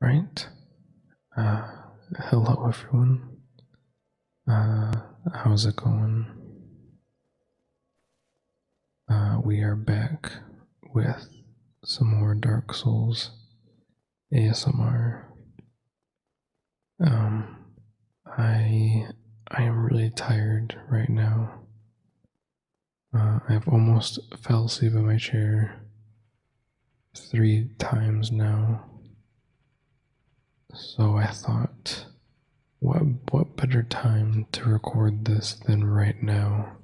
Right. Uh, hello everyone. Uh, how's it going? Uh, we are back with some more Dark Souls ASMR. Um, I I am really tired right now. I've almost fell asleep in my chair three times now. So I thought, what, what better time to record this than right now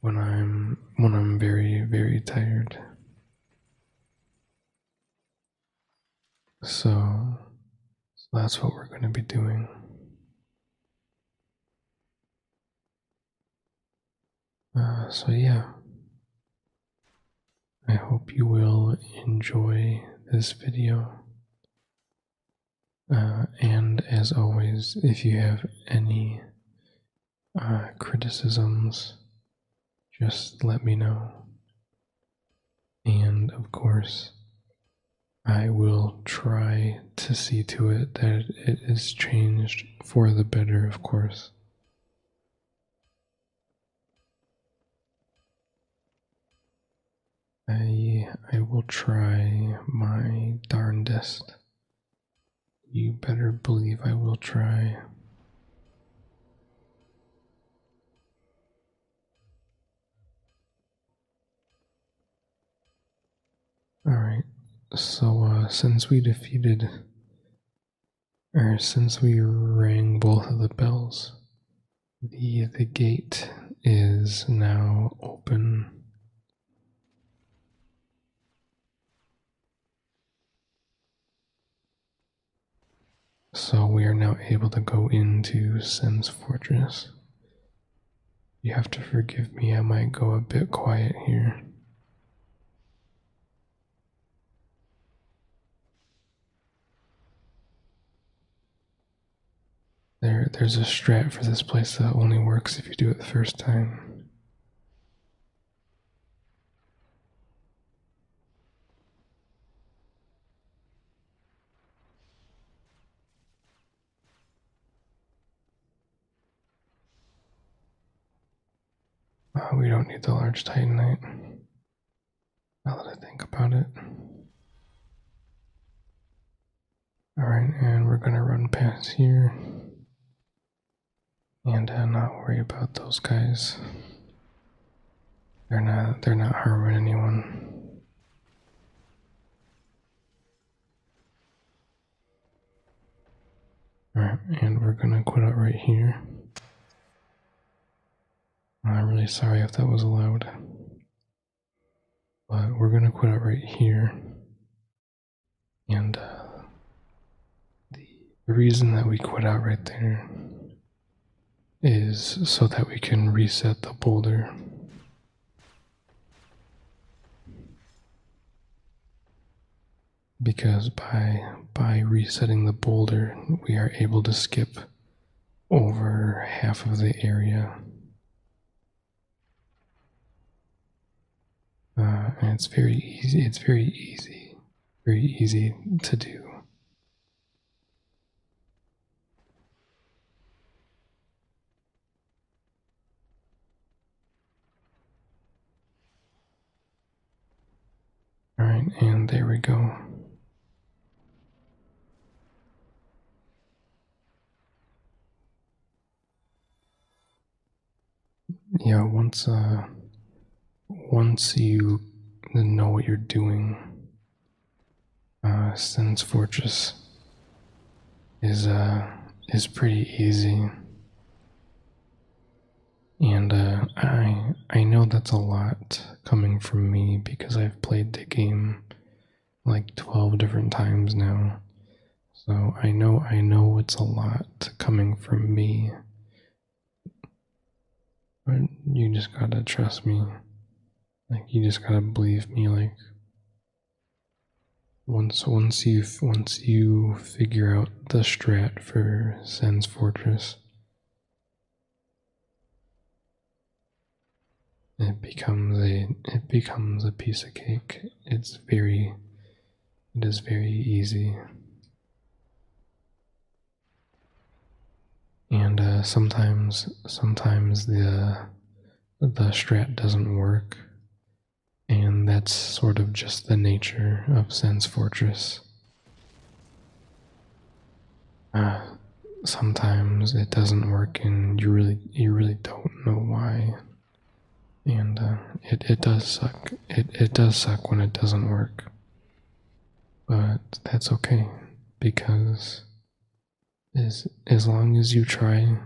when I'm, when I'm very, very tired. So, so that's what we're going to be doing. Uh, so, yeah, I hope you will enjoy this video. Uh, and as always, if you have any uh, criticisms, just let me know. And of course, I will try to see to it that it is changed for the better, of course. I I will try my darndest. You better believe I will try. Alright, so uh, since we defeated, or since we rang both of the bells, the, the gate is now open. So we are now able to go into Sim's Fortress. You have to forgive me, I might go a bit quiet here. There, there's a strat for this place that only works if you do it the first time we don't need the large titanite. Now that I think about it. Alright, and we're gonna run past here. And uh, not worry about those guys. They're not they're not harming anyone. Alright, and we're gonna quit out right here. I'm really sorry if that was allowed. But we're gonna quit out right here. And uh, the reason that we quit out right there is so that we can reset the boulder because by by resetting the boulder we are able to skip over half of the area uh, and it's very easy it's very easy very easy to do all right, and there we go. Yeah, once uh once you know what you're doing, uh Sin's Fortress is uh is pretty easy. And uh, I I know that's a lot coming from me because I've played the game like 12 different times now. So I know I know it's a lot coming from me. But you just gotta trust me. Like you just gotta believe me like once once you once you figure out the strat for Sen's Fortress. It becomes a it becomes a piece of cake. It's very it is very easy. And uh, sometimes sometimes the the strat doesn't work and that's sort of just the nature of Sen's Fortress. Uh, sometimes it doesn't work and you really you really don't know why. And uh, it, it does suck. It, it does suck when it doesn't work. But that's okay because as, as long as you try,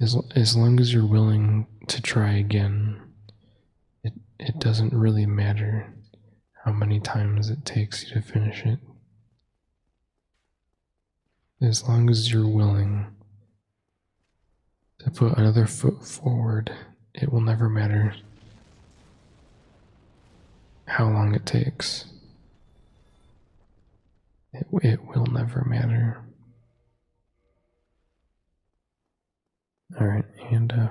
as, as long as you're willing to try again it, it doesn't really matter how many times it takes you to finish it. As long as you're willing to put another foot forward, it will never matter how long it takes. It, it will never matter. Alright, and uh,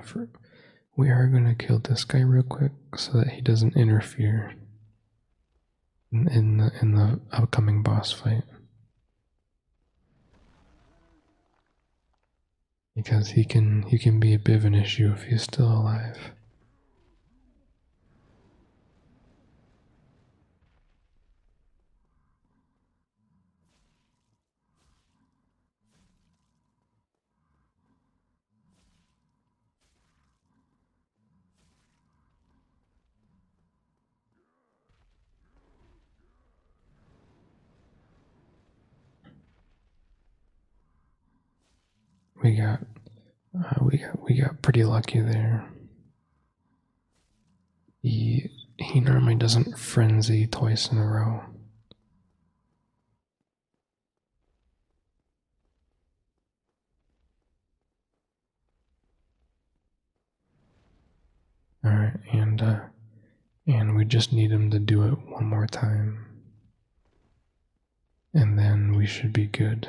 we are going to kill this guy real quick so that he doesn't interfere in, the, in the upcoming boss fight. Because he can he can be a bit of an issue if he's still alive. We got, uh, we got, we got pretty lucky there. He, he normally doesn't frenzy twice in a row. All right, and uh, and we just need him to do it one more time. And then we should be good.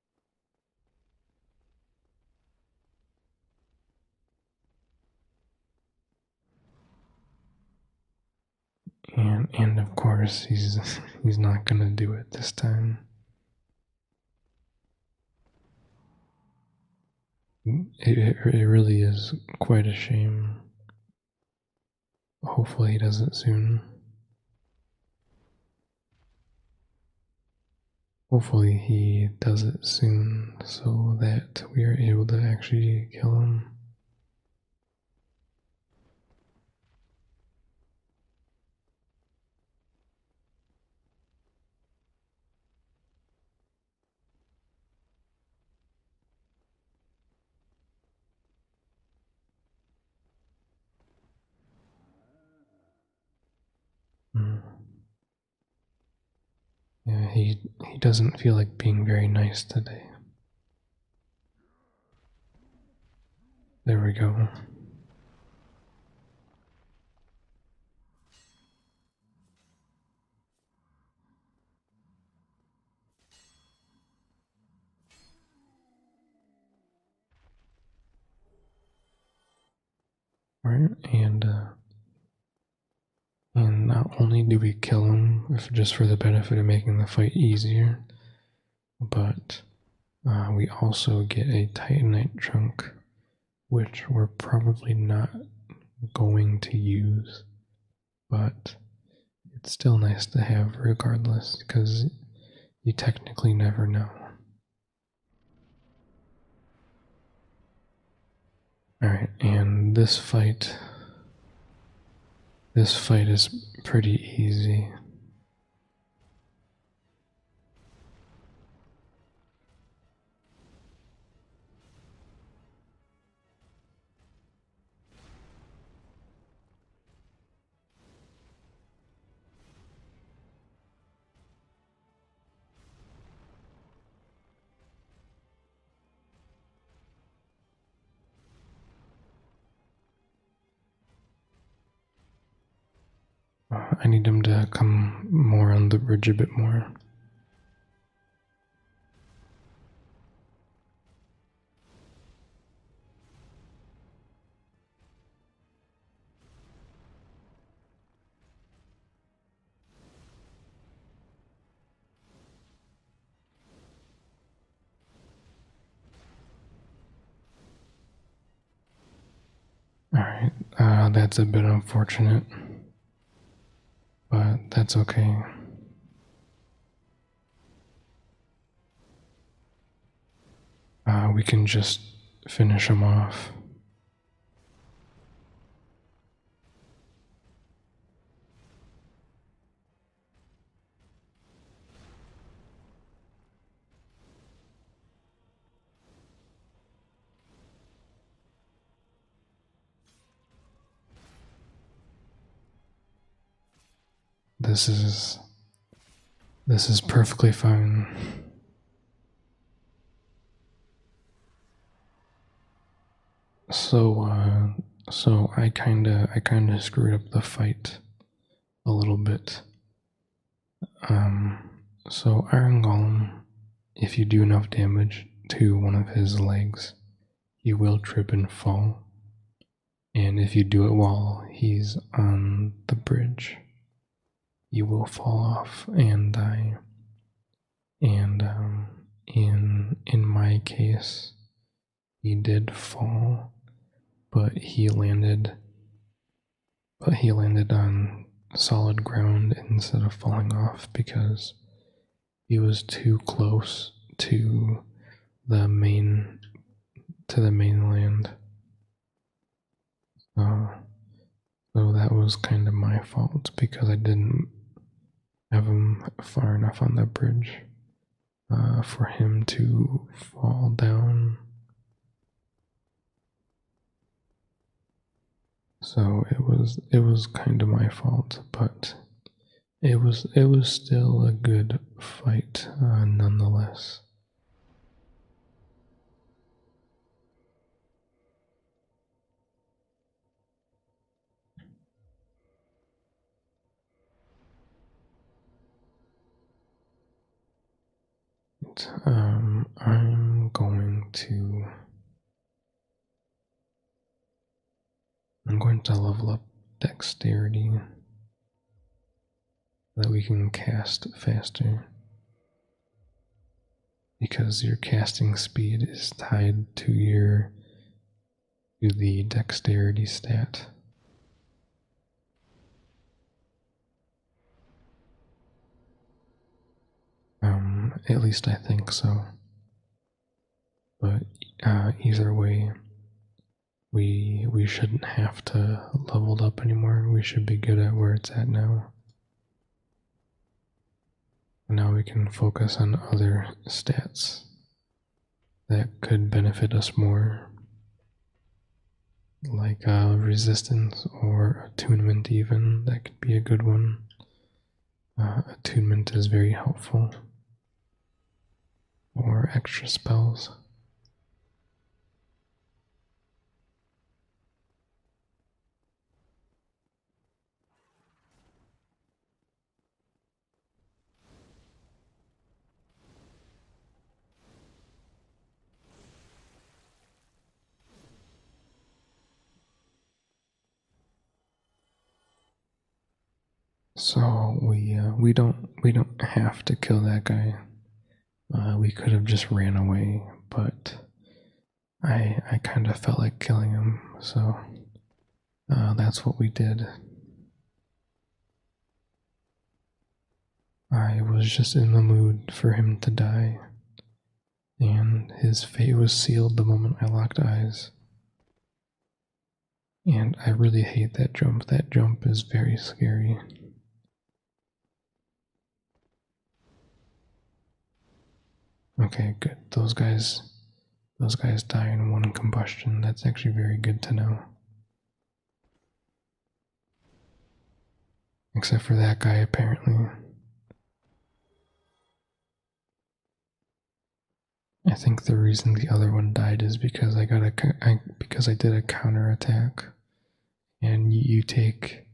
And of course he's he's not gonna do it this time. it, it really is quite a shame. Hopefully he does it soon. Hopefully he does it soon so that we are able to actually kill him. Hmm. Yeah, he he doesn't feel like being very nice today. There we go right? And uh, and not only do we kill him just for the benefit of making the fight easier, but uh, we also get a titanite chunk, which we're probably not going to use, but it's still nice to have regardless because you technically never know. Alright, and this fight. This fight is pretty easy. I need him to come more on the bridge a bit more. All right, uh, that's a bit unfortunate, but that's okay. Uh, we can just finish him off. This is this is perfectly fine. So, uh, so I kinda, I kinda screwed up the fight a little bit. Um, so Iron Golem, if you do enough damage to one of his legs, he will trip and fall. And if you do it while he's on the bridge, you will fall off and die. And um, in in my case, he did fall, but he landed. But he landed on solid ground instead of falling off because he was too close to the main to the mainland so, uh, so that was kind of my fault because I didn't have him far enough on that bridge uh, for him to fall down. So it was it was kind of my fault, but it was it was still a good fight uh, nonetheless. Um, I'm going to I'm going to level up dexterity that we can cast faster because your casting speed is tied to your to the dexterity stat. Um, at least I think so. But uh, either way, we we shouldn't have to level up anymore. We should be good at where it's at now. Now we can focus on other stats that could benefit us more, like uh, resistance or attunement, even. That could be a good one. Uh, attunement is very helpful, or extra spells. So we uh, we don't we don't have to kill that guy. Uh, we could have just ran away, but I I kind of felt like killing him, so uh, that's what we did. I was just in the mood for him to die, and his fate was sealed the moment I locked eyes. And I really hate that jump. That jump is very scary. Okay, good. Those guys those guys die in one combustion. That's actually very good to know. Except for that guy apparently. I think the reason the other one died is because I got a, because I did a counter attack, and you take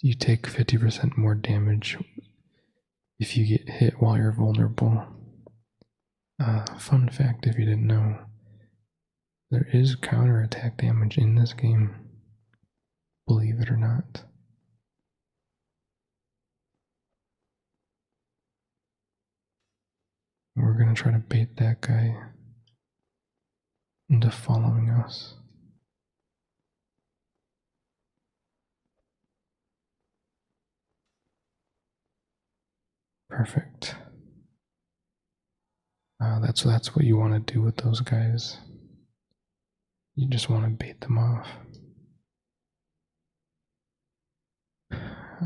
you take 50% more damage if you get hit while you're vulnerable. Uh, fun fact if you didn't know, there is counter attack damage in this game, believe it or not. We're gonna try to bait that guy into following us. Perfect. Uh, that's that's what you want to do with those guys. You just want to bait them off. All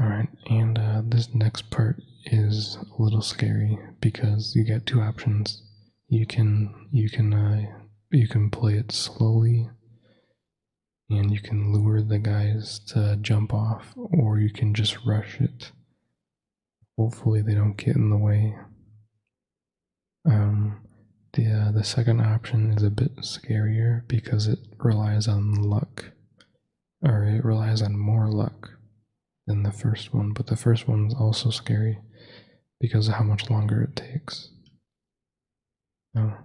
right, and uh, this next part is a little scary because you get two options you can you can uh, you can play it slowly and you can lure the guys to jump off or you can just rush it hopefully they don't get in the way um, the, uh, the second option is a bit scarier because it relies on luck or it relies on more luck than the first one but the first one's also scary because of how much longer it takes. Oh.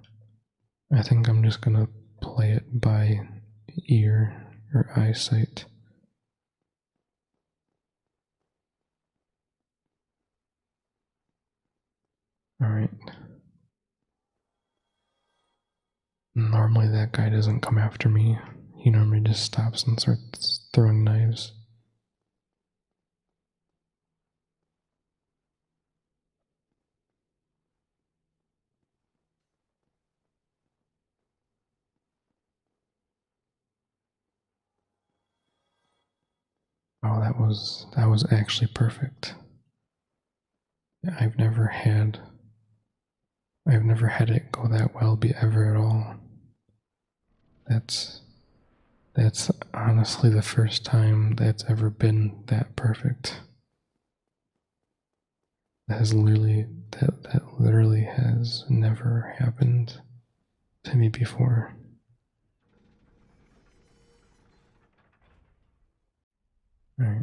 I think I'm just gonna play it by ear or eyesight. Alright. Normally that guy doesn't come after me. He normally just stops and starts throwing knives. Oh, that was that was actually perfect. I've never had I've never had it go that well be ever at all. That's that's honestly the first time that's ever been that perfect. That has literally that that literally has never happened to me before.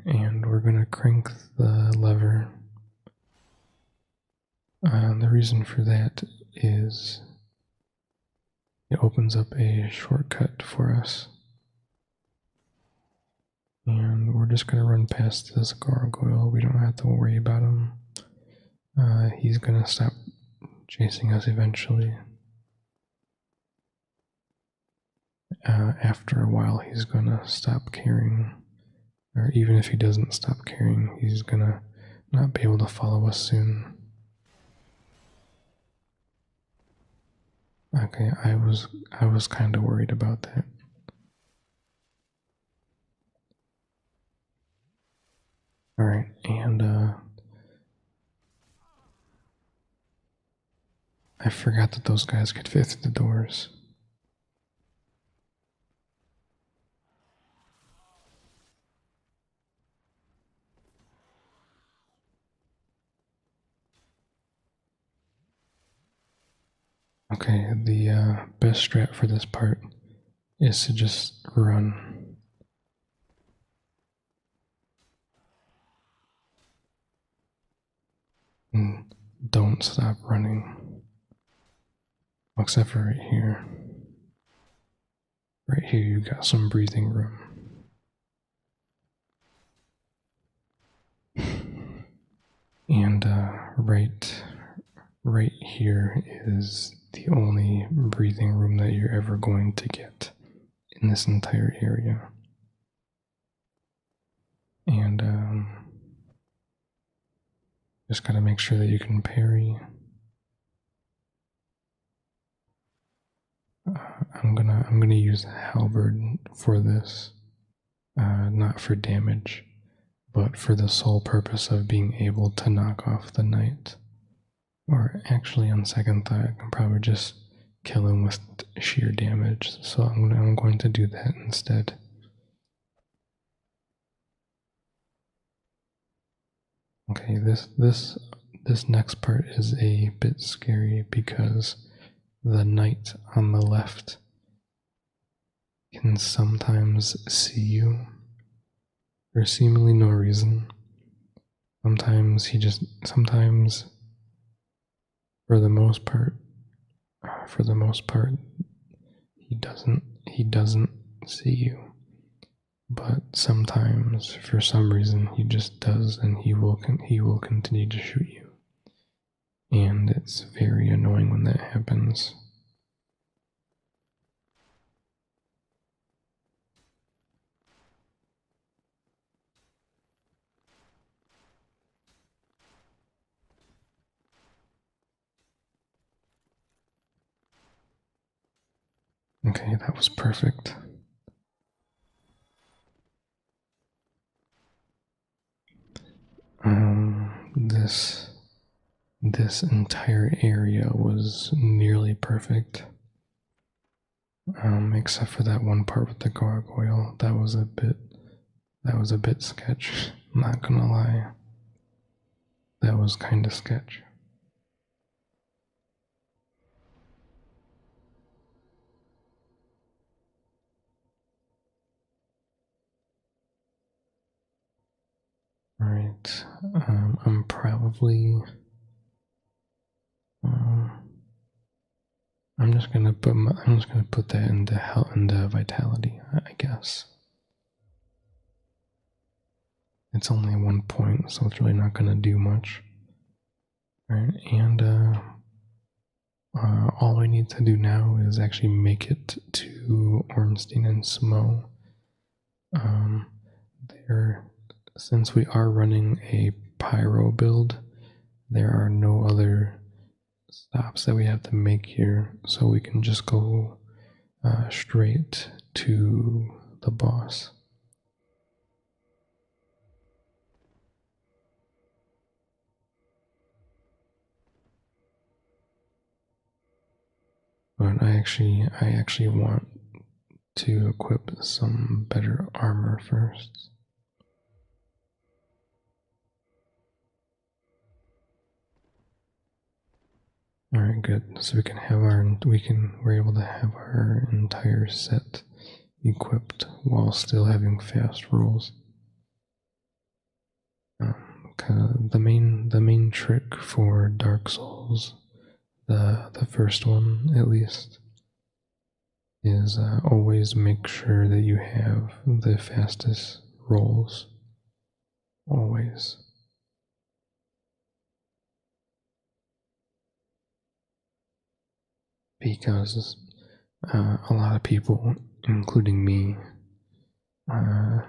and we're gonna crank the lever. Uh, the reason for that is it opens up a shortcut for us. And we're just going to run past this gargoyle. We don't have to worry about him. Uh, he's going to stop chasing us eventually. Uh, after a while, he's going to stop caring. Or even if he doesn't stop caring, he's going to not be able to follow us soon. Okay, I was I was kind of worried about that. All right, and uh I forgot that those guys could fit through the doors. Okay, the uh, best strat for this part is to just run. And don't stop running. Except for right here. Right here, you've got some breathing room. And uh, right, right here is the only breathing room that you're ever going to get in this entire area. And um, just gotta make sure that you can parry. I'm gonna I'm gonna use halberd for this, uh, not for damage, but for the sole purpose of being able to knock off the knight. Or actually, on second thought, I can probably just kill him with sheer damage. So I'm going to do that instead. Okay, this this this next part is a bit scary because the knight on the left can sometimes see you for seemingly no reason. Sometimes he just sometimes for the most part for the most part he doesn't he doesn't see you but sometimes for some reason he just does and he will he will continue to shoot you and it's very annoying when that happens Okay, that was perfect. Um, this this entire area was nearly perfect. Um, except for that one part with the gargoyle. That was a bit that was a bit sketch, not gonna lie. That was kinda sketch. Right. Um, I'm probably. Um, I'm just gonna put I'm just gonna put that in the health and the vitality, I guess it's only one point, so it's really not going to do much. Uh, uh, all right, and all we need to do now is actually make it to Ormstein and Smo. Um, there, since we are running a pyro build, there are no other stops that we have to make here, so we can just go uh, straight to the boss. But I actually, I actually want to equip some better armor first. All right, good. So we can have our, we can, we're able to have entire set equipped while still having fast rolls. Um, the main the main trick for Dark Souls, the the first one at least, is uh, always make sure that you have the fastest rolls. Always because uh, a lot of people, including me, uh,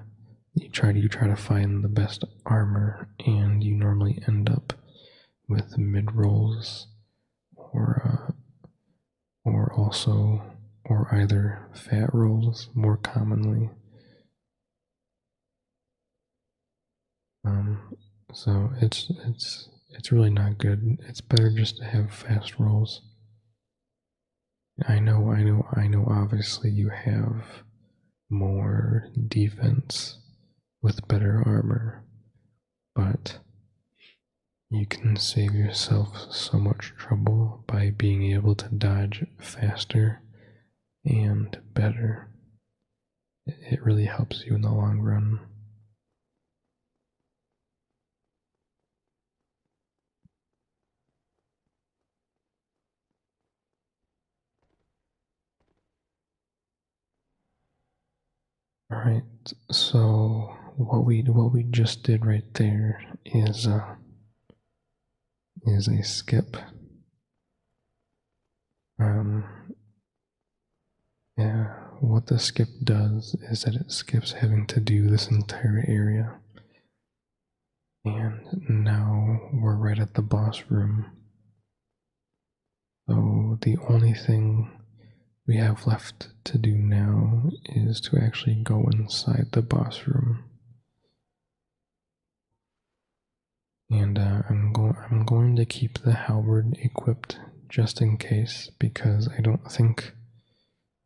you try to you try to find the best armor, and you normally end up with mid rolls, or uh, or also or either fat rolls more commonly, um, so it's it's it's really not good. It's better just to have fast rolls. I know, I know, I know. Obviously, you have more defense with better armor, but you can save yourself so much trouble by being able to dodge faster and better it really helps you in the long run. All right, so what we what we just did right there is uh, is a skip. Um, yeah, what the skip does is that it skips having to do this entire area. And now we're right at the boss room. So the only thing we have left to do now is to actually go inside the boss room and uh, I'm going I'm going to keep the halberd equipped just in case because I don't think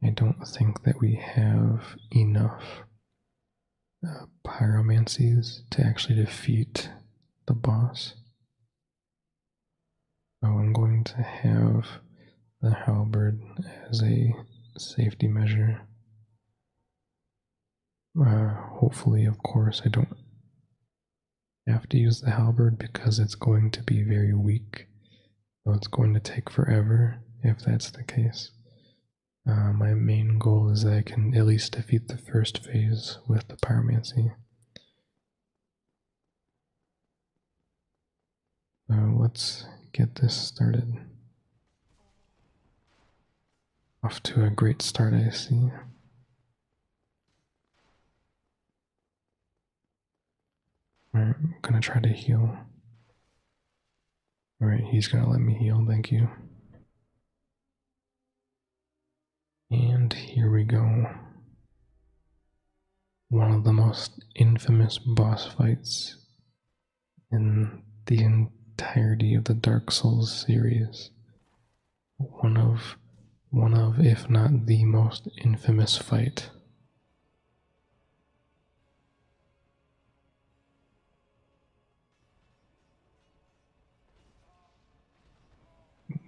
I don't think that we have enough uh, pyromancies to actually defeat the boss. So I'm going to have the halberd as a safety measure. Uh, hopefully, of course, I don't I have to use the halberd because it's going to be very weak. So it's going to take forever if that's the case. Uh, my main goal is that I can at least defeat the first phase with the pyromancy. Uh, let's get this started. Off to a great start, I see. Alright, I'm gonna try to heal. Alright, he's gonna let me heal, thank you. And here we go. One of the most infamous boss fights in the entirety of the Dark Souls series one of one of if not the most infamous fight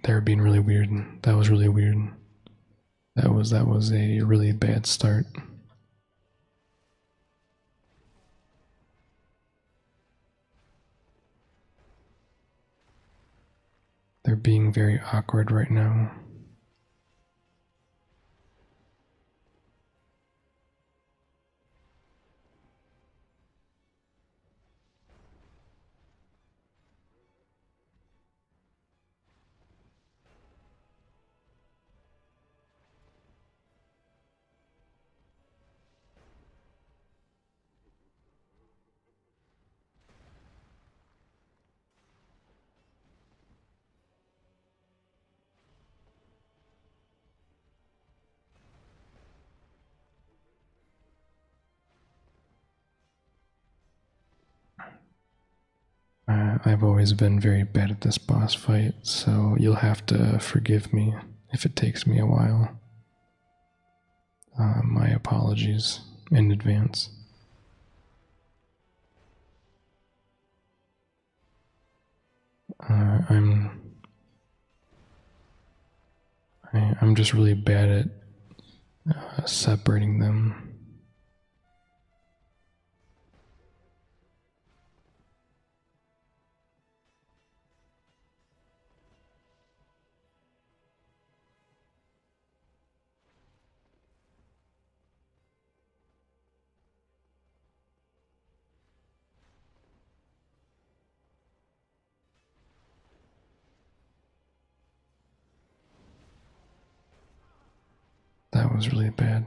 they're being really weird that was really weird that was that was a really bad start they're being very awkward right now. Uh, I've always been very bad at this boss fight, so you'll have to forgive me if it takes me a while. Uh, my apologies in advance. Uh, I, am i am just really bad at uh, separating them. That was really bad.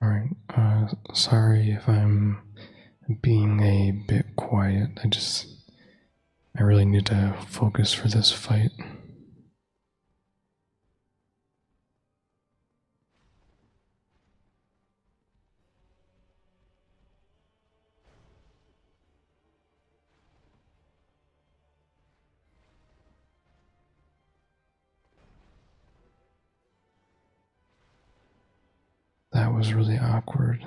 All right, uh, sorry if I'm being a bit quiet. I just, I really need to focus for this fight. That was really awkward.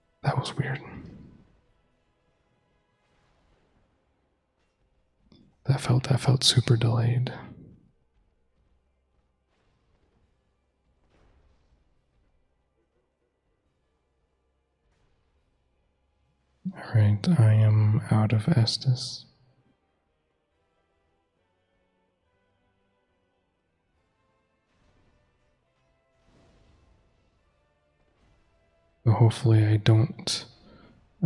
That was weird. That felt that felt super delayed. Alright, I am out of Estes hopefully I don't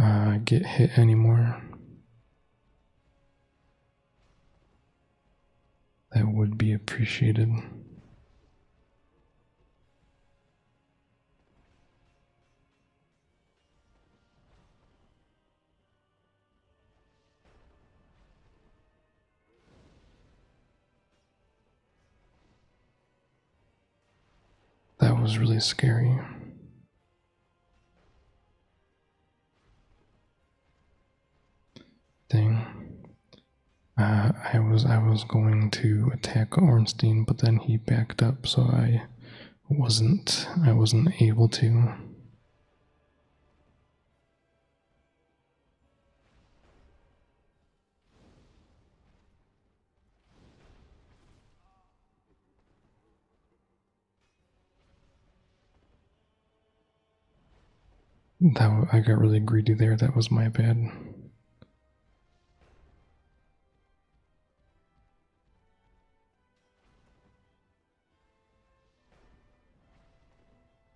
uh, get hit anymore. That would be appreciated. That was really scary. Thing. Uh, I was I was going to attack Ornstein, but then he backed up, so I wasn't I wasn't able to. That I got really greedy there. That was my bad.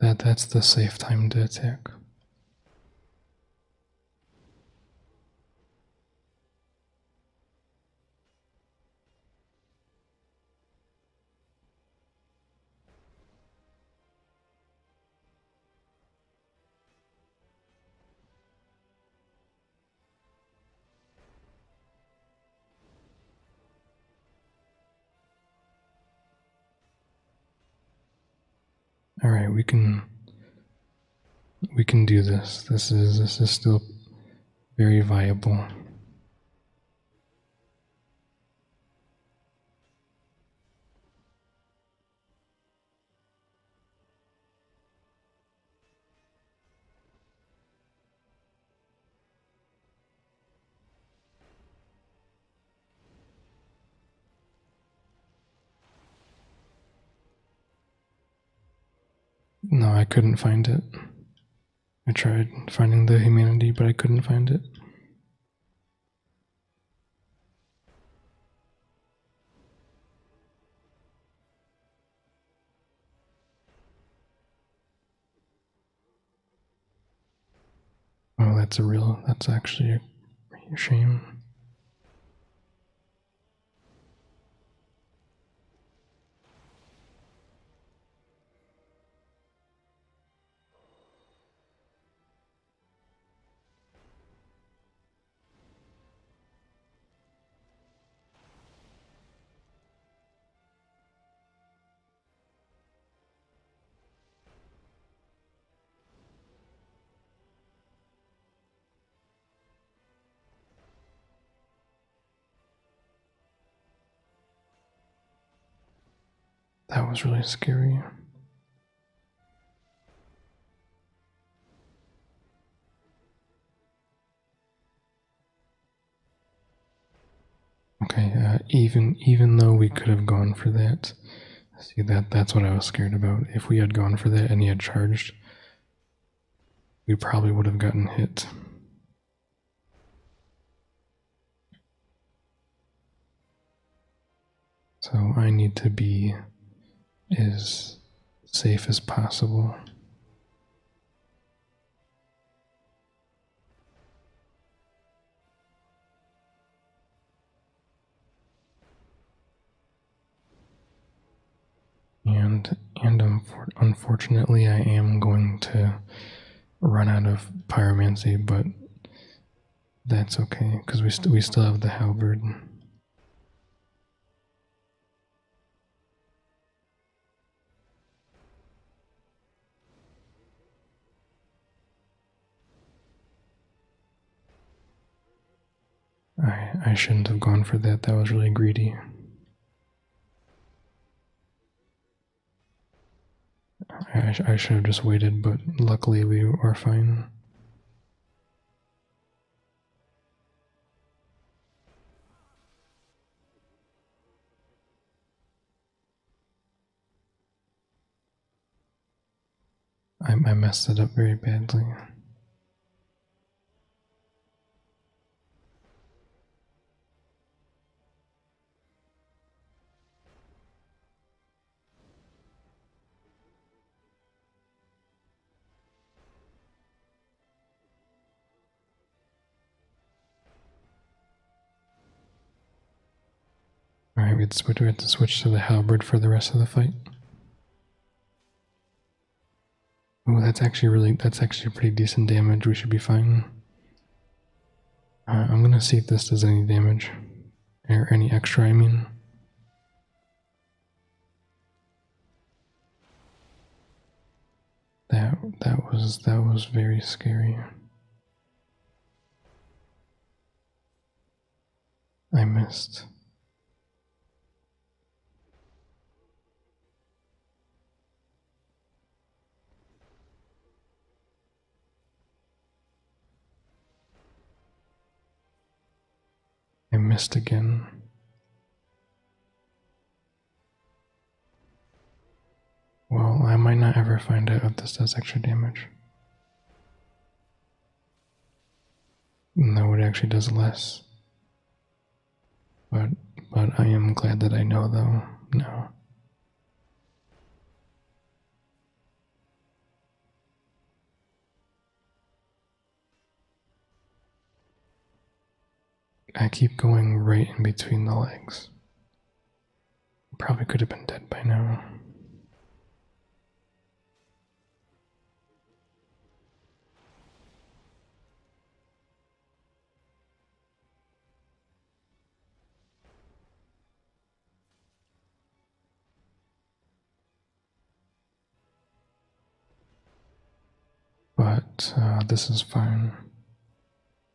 That, that's the safe time to attack. All right, we can we can do this. This is this is still very viable. No, I couldn't find it. I tried finding the humanity, but I couldn't find it. Oh, that's a real, that's actually a shame. That was really scary. Okay, uh, even even though we could have gone for that, see that that's what I was scared about. If we had gone for that and he had charged, we probably would have gotten hit. So I need to be as safe as possible. And and unfortunately, I am going to run out of pyromancy, but that's okay because we we still have the halberd. I, I shouldn't have gone for that. That was really greedy. I, I should have just waited, but luckily we are fine. I, messed it up very badly. Alright, we have to switch to the halberd for the rest of the fight. Oh, that's actually really, that's actually pretty decent damage. We should be fine. Uh, I'm gonna see if this does any damage. Or any extra, I mean. That that was that was very scary. I missed. I missed again. Well, I might not ever find out if this does extra damage. No, it actually does less. But but I am glad that I know though No. I keep going right in between the legs. Probably could have been dead by now. But uh, this is fine.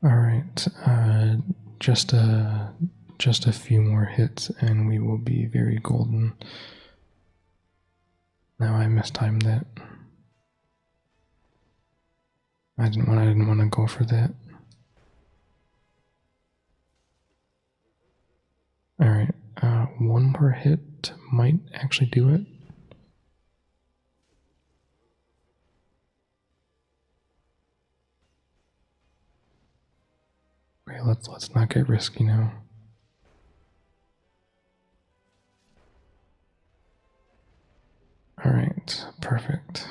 All right, uh, just a just a few more hits, and we will be very golden. Now I mistimed that. I didn't want I didn't want to go for that. Alright, uh, one more hit might actually do it. Okay, let's let's not get risky now. All right, perfect.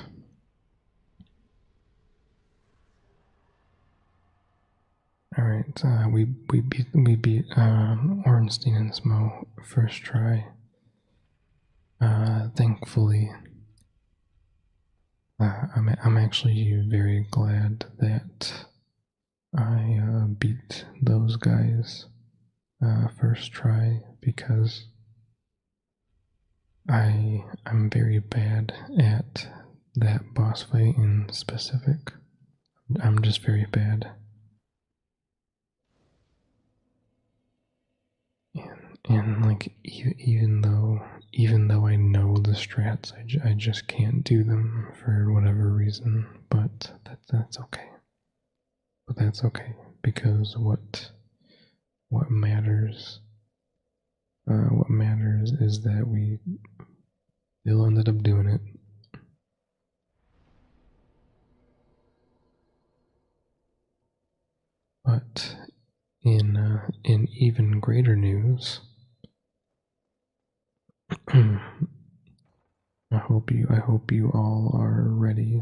All right, uh, we we beat we beat um, and Smo first try. Uh, thankfully, uh, I'm I'm actually very glad that I beat those guys uh, first try because I I'm very bad at that boss fight in specific. I'm just very bad. And, and like e even though even though I know the strats, I, I just can't do them for whatever reason. But that that's okay. But that's okay because what what matters uh, what matters is that we still ended up doing it. But in uh, in even greater news, I hope you I hope you all are ready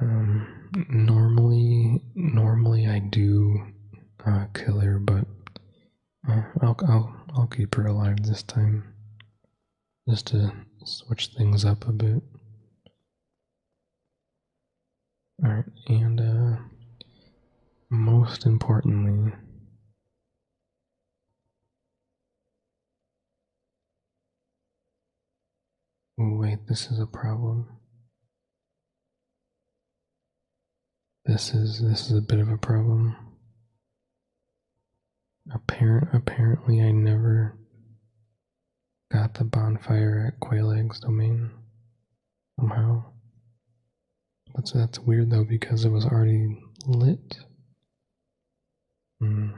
Um, normally, normally I do uh, kill her, but uh, I'll, I'll, I'll keep her alive this time, just to switch things up a bit. All right, and uh, most importantly, wait, this is a problem. This is this is a bit of a problem. Apparent apparently I never got the bonfire at Quail Egg's domain somehow. That's that's weird though because it was already lit. Hmm.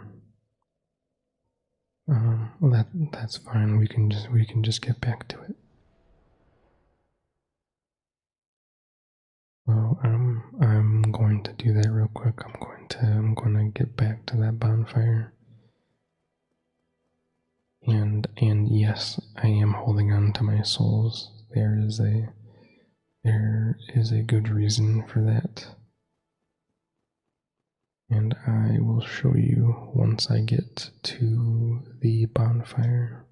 Um, well that that's fine. We can just we can just get back to it. Well, I'm I'm going to do that real quick. I'm going to I'm going to get back to that bonfire. And and yes, I am holding on to my souls. There is a there is a good reason for that. And I will show you once I get to the bonfire.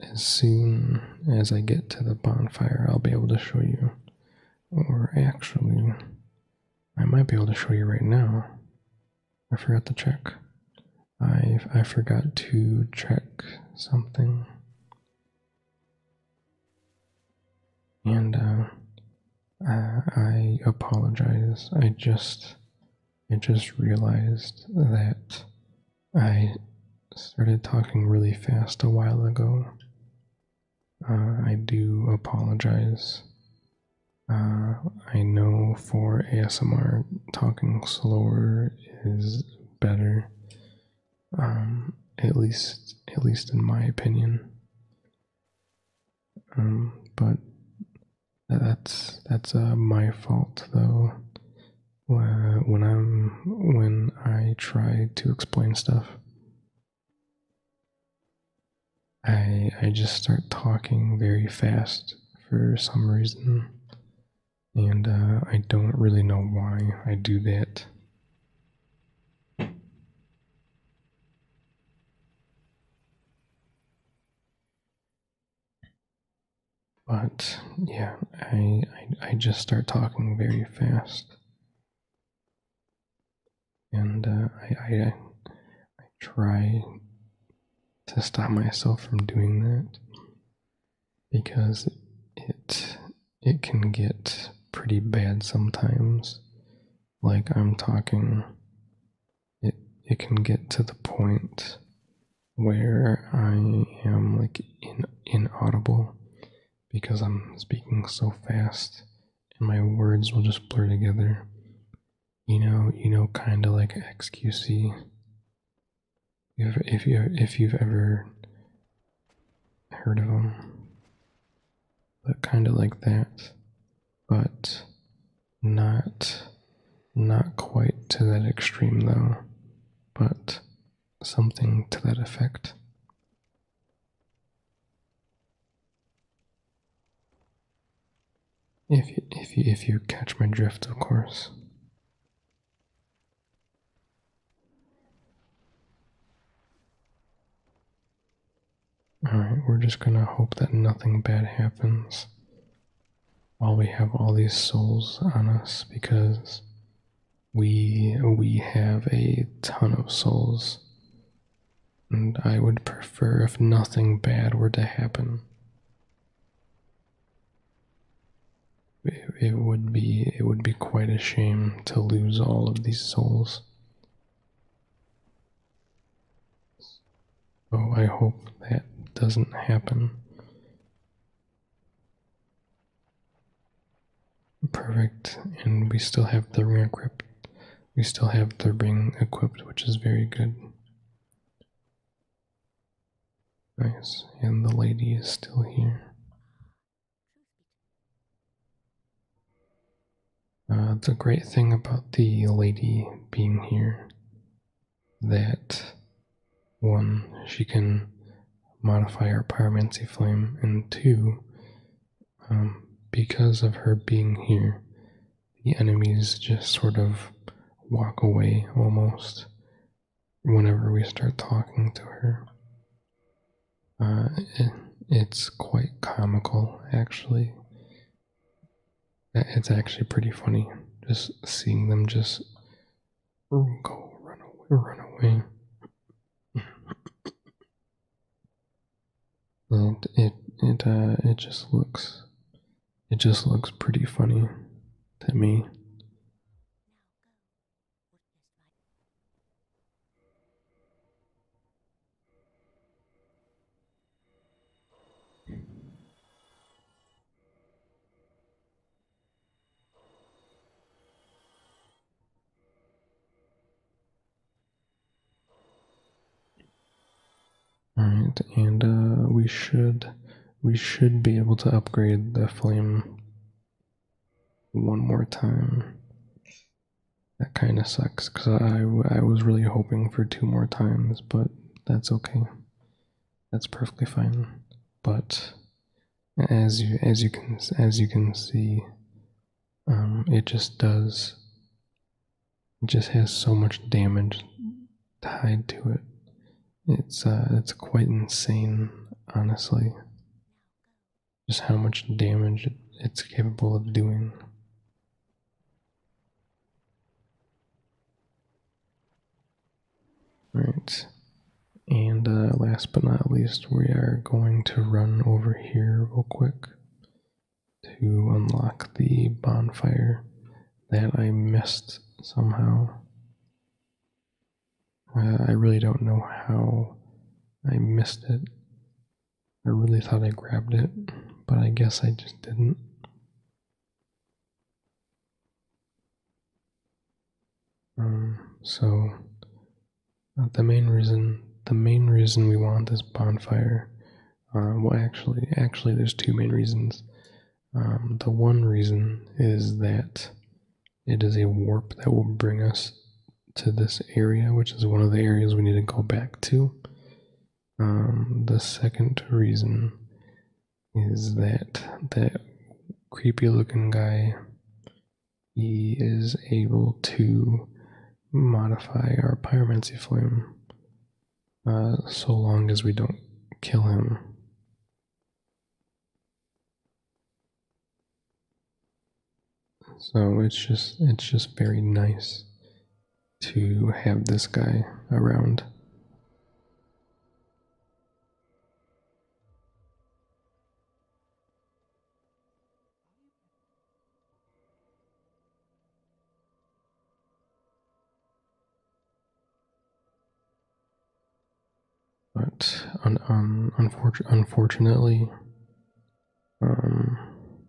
As soon as I get to the bonfire, I'll be able to show you. Or actually, I might be able to show you right now. I forgot to check. I I forgot to check something. And uh, uh, I apologize. I just I just realized that I started talking really fast a while ago. Uh, I do apologize. Uh, I know for ASMR, talking slower is better. Um, at least, at least in my opinion. Um, but that's that's uh, my fault though when I'm when I try to explain stuff. I I just start talking very fast for some reason, and uh, I don't really know why I do that. But yeah, I, I, just start talking very fast, and uh, I, I I try to stop myself from doing that because it it can get pretty bad sometimes. Like I'm talking, it it can get to the point where I am like in, inaudible because I'm speaking so fast and my words will just blur together. You know, you know, kind of like XQC. If, if you if you've ever heard of them, but kind of like that, but not not quite to that extreme though, but something to that effect. If you, if if you catch my drift, of course. Alright, we're just gonna hope that nothing bad happens while we have all these souls on us because we we have a ton of souls. And I would prefer if nothing bad were to happen. It, would be it would be quite a shame to lose all of these souls. Oh, I hope that doesn't happen. Perfect, and we still have the ring equipped. We still have the ring equipped, which is very good. Nice, and the lady is still here. Uh, the great thing about the lady being here that one, she can modify her pyromancy flame, and two, um, because of her being here, the enemies just sort of walk away almost whenever we start talking to her. Uh, it's quite comical, actually. It's actually pretty funny just seeing them just Go, run away, run away. and it it uh, it just looks it just looks pretty funny to me. All right, and uh, we should we should be able to upgrade the flame one more time. That kind of sucks because I I was really hoping for two more times, but that's okay. That's perfectly fine. But as you as you can as you can see um, it just does it just has so much damage tied to it it's uh, it's quite insane honestly just how much damage it's capable of doing all right. And uh, last but not least, we are going to run over here real quick to unlock the bonfire that I missed somehow. Uh, I really don't know how I missed it. I really thought I grabbed it, but I guess I just didn't. Um, so the main reason the main reason we want this bonfire, uh, well actually actually there's two main reasons. Um, the one reason is that it is a warp that will bring us to this area, which is one of the areas we need to go back to. Um, the second reason is that that creepy looking guy he is able to modify our pyromancy flame uh, so long as we don't kill him. So it's just it's just very nice to have this guy around. But un, unfortunately, um,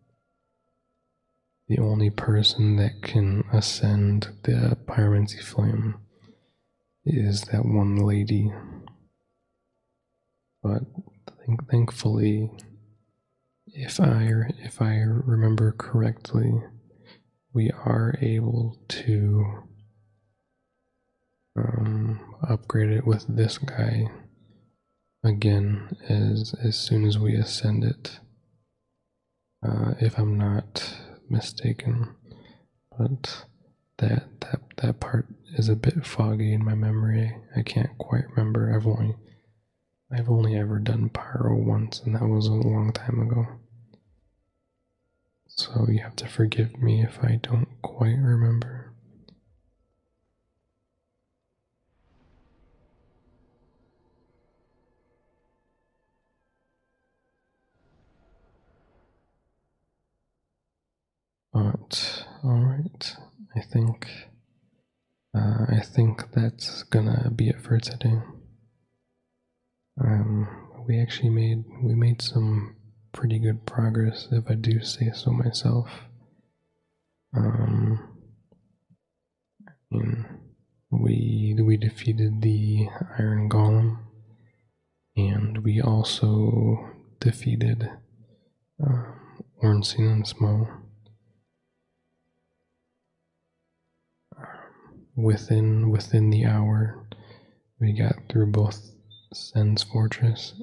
the only person that can ascend the pyromancy flame is that one lady but thankfully, if I if I remember correctly, we are able to um, upgrade it with this guy again as as soon as we ascend it. Uh, if I'm not mistaken, but that that that part is a bit foggy in my memory. I can't quite remember. I've only I've only ever done pyro once, and that was a long time ago. So you have to forgive me if I don't quite remember. But all right, I think uh, I think that's gonna be it for today. Um, we actually made we made some pretty good progress, if I do say so myself. Um, we we defeated the Iron Golem and we also defeated uh, um, Ornstein and Small um, within within the hour. We got through both Sen's Fortress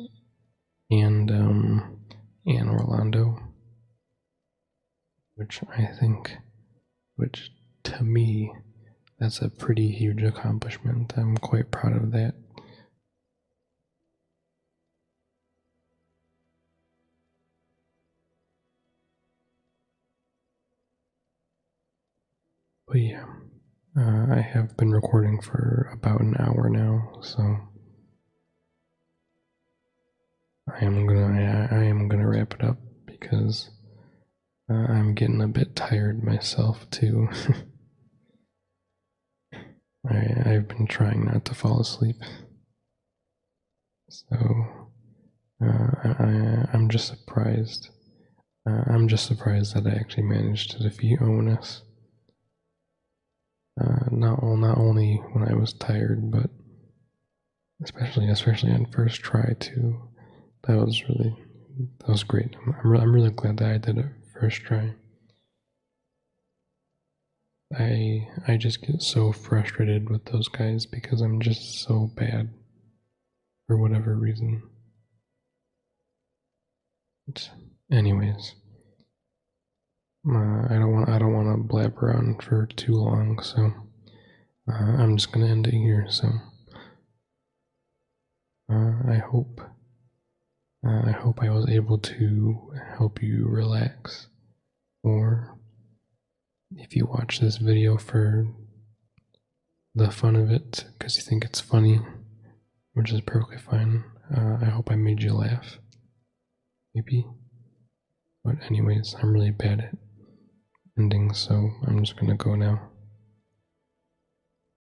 and um, and Orlando, which I think, which to me, that's a pretty huge accomplishment. I'm quite proud of that. But yeah, uh, I have been recording for about an hour now, so I am gonna I, am gonna wrap it up because uh, I'm getting a bit tired myself too. I, have been trying not to fall asleep. So uh, I, am just surprised. Uh, I'm just surprised that I actually managed to defeat Onus. Uh, not only when I was tired, but especially especially on first try too. That was really that was great. I'm really glad that I did it first try. I I just get so frustrated with those guys because I'm just so bad for whatever reason. anyways, uh, I don't want I don't want to blab around for too long, so uh, I'm just gonna end it here. So uh, I hope. Uh, I hope I was able to help you relax, or if you watch this video for the fun of it because you think it's funny, which is perfectly fine. Uh, I hope I made you laugh. Maybe. But, anyways, I'm really bad at endings, so I'm just gonna go now.